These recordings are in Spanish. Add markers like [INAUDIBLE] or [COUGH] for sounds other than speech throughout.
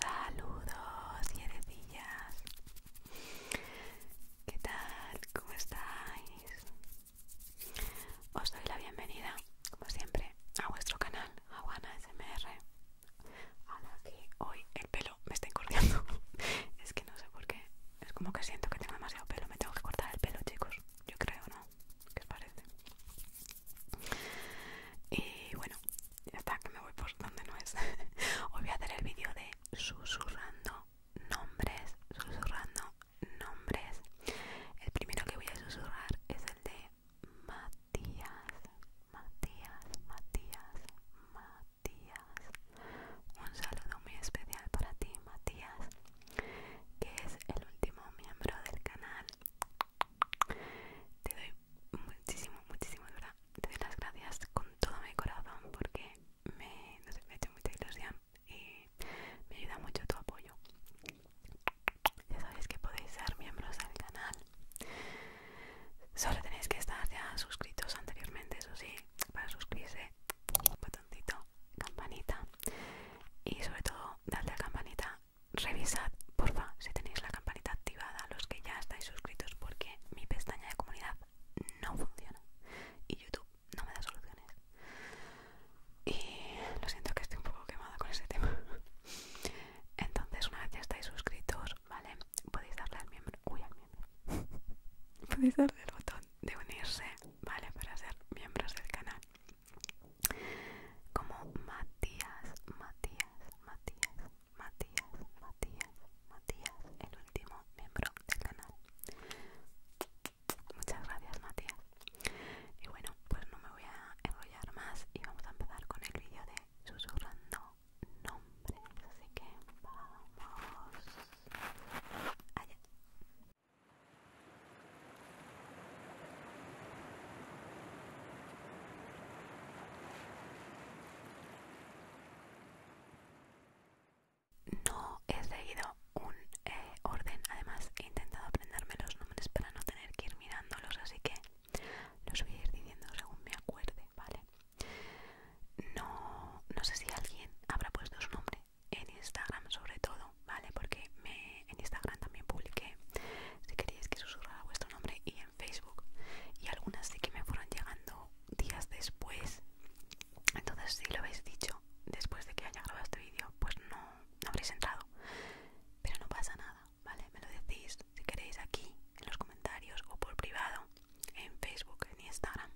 Saludos hierecillas. ¿Qué tal? ¿Cómo estáis? Os doy la bienvenida, como siempre, a vuestro canal Aguana SMR. que hoy el pelo me está encordando. [LAUGHS] es que no sé por qué. Es como que siento que tengo demasiado pelo. Me tengo que cortar el pelo, chicos. Yo creo, ¿no? ¿Qué parece? Y bueno, ya está, que me voy por donde no es. Hoy [LAUGHS] voy a hacer el vídeo de susurrando nombres, susurrando nombres. El primero que voy a susurrar es el de Matías, Matías, Matías, Matías. Un saludo muy especial para ti, Matías que es el último miembro del canal. Te doy muchísimo, muchísimo, te doy las gracias con todo mi corazón porque me, no mucha ilusión y me ayuda mucho tu apoyo. Ya sabéis que podéis ser miembros del canal. Solo tenéis que estar ya suscritos anteriormente, eso sí, para suscribirse, un botoncito campanita y sobre todo dadle a la campanita revisad porfa si tenéis la campanita activada los que ya estáis suscritos porque mi pestaña de comunidad no funciona y youtube no me da soluciones y lo siento que estoy un poco quemada con ese tema [LAUGHS] entonces una vez ya estáis suscritos vale podéis darle al miembro uy al miembro [LAUGHS] podéis darle al botón de unirse vale para ser miembros del canal como Matías, Matías, Matías, Matías, Matías, Matías, el último miembro del canal. Muchas gracias, Matías. Y bueno, pues no me voy a enrollar más y vamos a empezar con el vídeo de susurrando nombres. Así que vamos allá. No he seguido un eh, orden, además he intentado aprenderme los nombres para no tener que ir mirándolos, así que los voy a ir diciendo según me acuerde, ¿vale? No, no sé si alguien habrá puesto su nombre en Instagram sobre todo, ¿vale? Porque me, en Instagram también publiqué si queréis que susurrara vuestro nombre y en Facebook. Y algunas sí que me fueron llegando días después. Entonces si lo habéis dicho después de que haya grabado este vídeo, pues no, no habréis entrado. Pero no pasa nada, ¿vale? Me lo decís si queréis aquí, en los comentarios o por privado, en Facebook, en Instagram.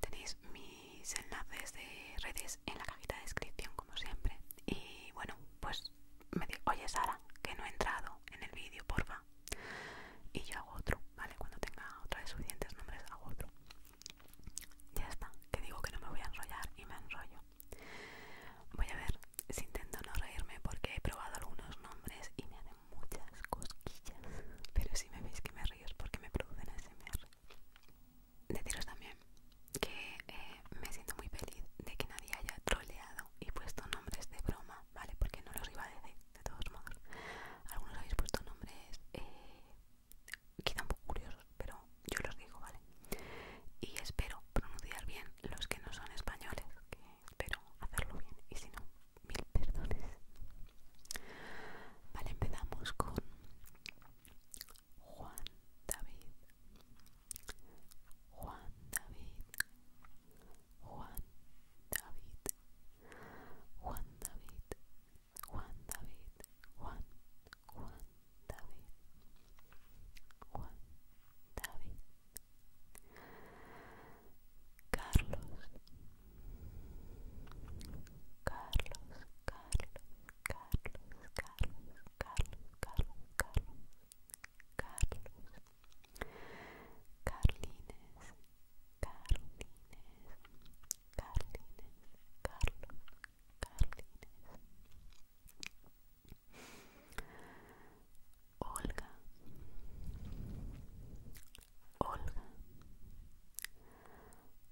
Tenéis mis enlaces de redes pues, en la cajita de descripción como siempre. Y bueno, pues me oye Sara, que no he entrado en el vídeo, porfa. Y yo hago otro, ¿vale? Cuando tenga otra de suficientes nombres hago otro. Ya está, que digo que no me voy a enrollar y me enrollo. Voy a ver si intento no reírme porque he probado algunos nombres y me hacen muchas cosquillas. Pero si me veis que me río es porque me producen ASMR deciros también que eh, me siento muy feliz de que nadie haya troleado y puesto nombres de broma, ¿vale? Porque no los iba a decir, de todos modos. Algunos habéis puesto nombres eh, quizá un poco curiosos, pero yo los digo, ¿vale? Y espero pronunciar bien los que no son españoles, que espero hacerlo bien, y si no, mil perdones. Vale, empezamos con Juan David Juan David Juan David Juan David Juan David Juan Juan David Juan David Carlos Carlos Carlos Carlos, Carlos, Carlos, Carlos, Carlos, Carlos, Carlines, Carlines, Carlines, Carlos, Carlines, Olga, Olga.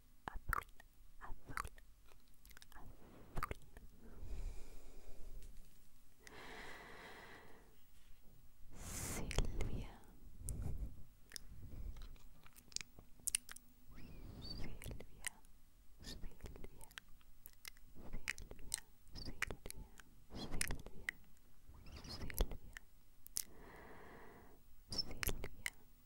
Silvia, Silvia, Silvia, Silvia, Silvia, Silvia, Silvia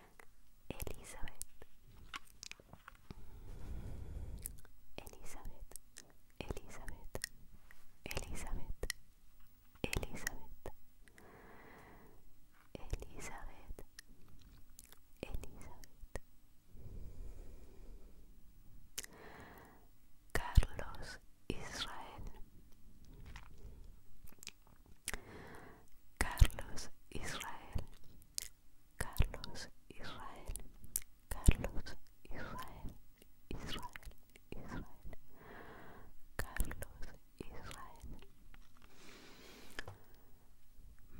Elizabeth Elizabeth Elizabeth Elizabeth Elizabeth Elizabeth Elizabeth Carlos Israel Carlos Israel, Carlos Israel, Carlos Israel, Israel, Israel, Carlos Israel,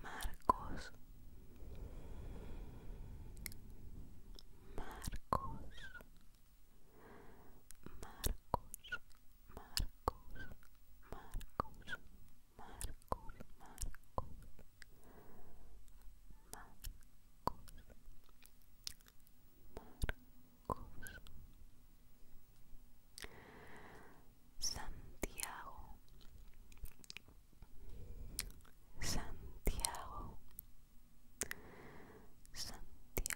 Marcos, Marcos, Marcos. Marcos, Marcos, Marcos, Marcos, Marcos, Marcos, Santiago, Santiago, Santiago,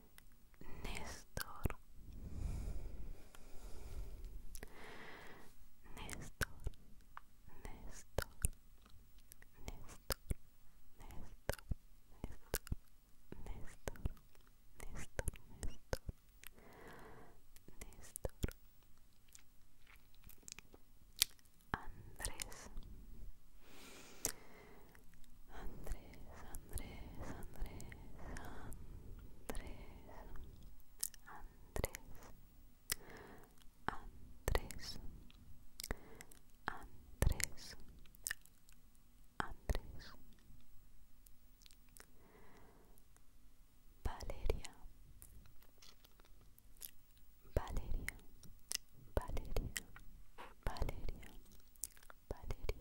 Néstor Néstor Néstor Néstor Néstor Néstor Néstor Néstor Néstor Andrés Andrés, Andrés, Andrés, Andrés, Andrés, Andrés, Andrés, Andrés, Valeria, Valeria, Valeria, Valeria, Valeria.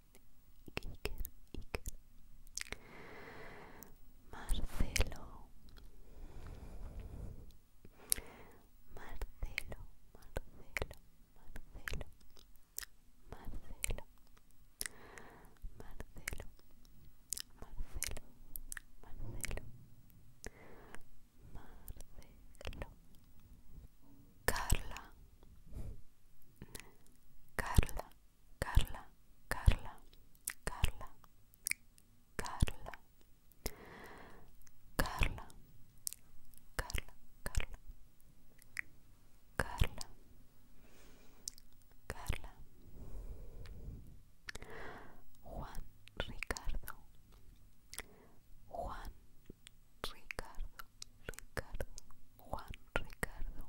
Iker, Marcelo Marcelo, Marcelo, Marcelo, Marcelo, Marcelo, Marcelo, Marcelo, Marcelo, Carla, Carla, Carla, Carla, Carla, Carla, Carla, Carla, Carla, Carla, Carla, Juan Ricardo, Juan Ricardo, Ricardo, Juan Ricardo.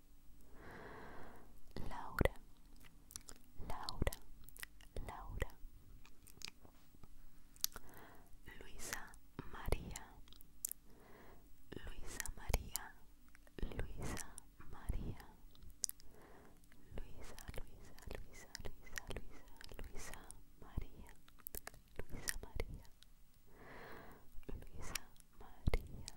Laura, Laura, Laura. Luisa María, Luisa María, Luisa María. Luisa, Luisa, Luisa, Luisa, Luisa, Luisa María, Luisa María, Luisa María,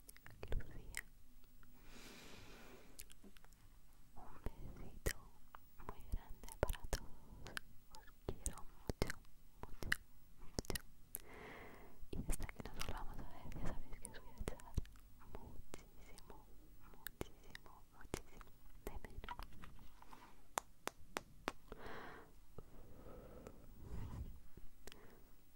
Lucía. Un besito muy grande para todos. Os quiero mucho, mucho, mucho. Y hasta que nos volvamos a ver, ya sabéis que os voy a echar muchísimo, muchísimo, muchísimo de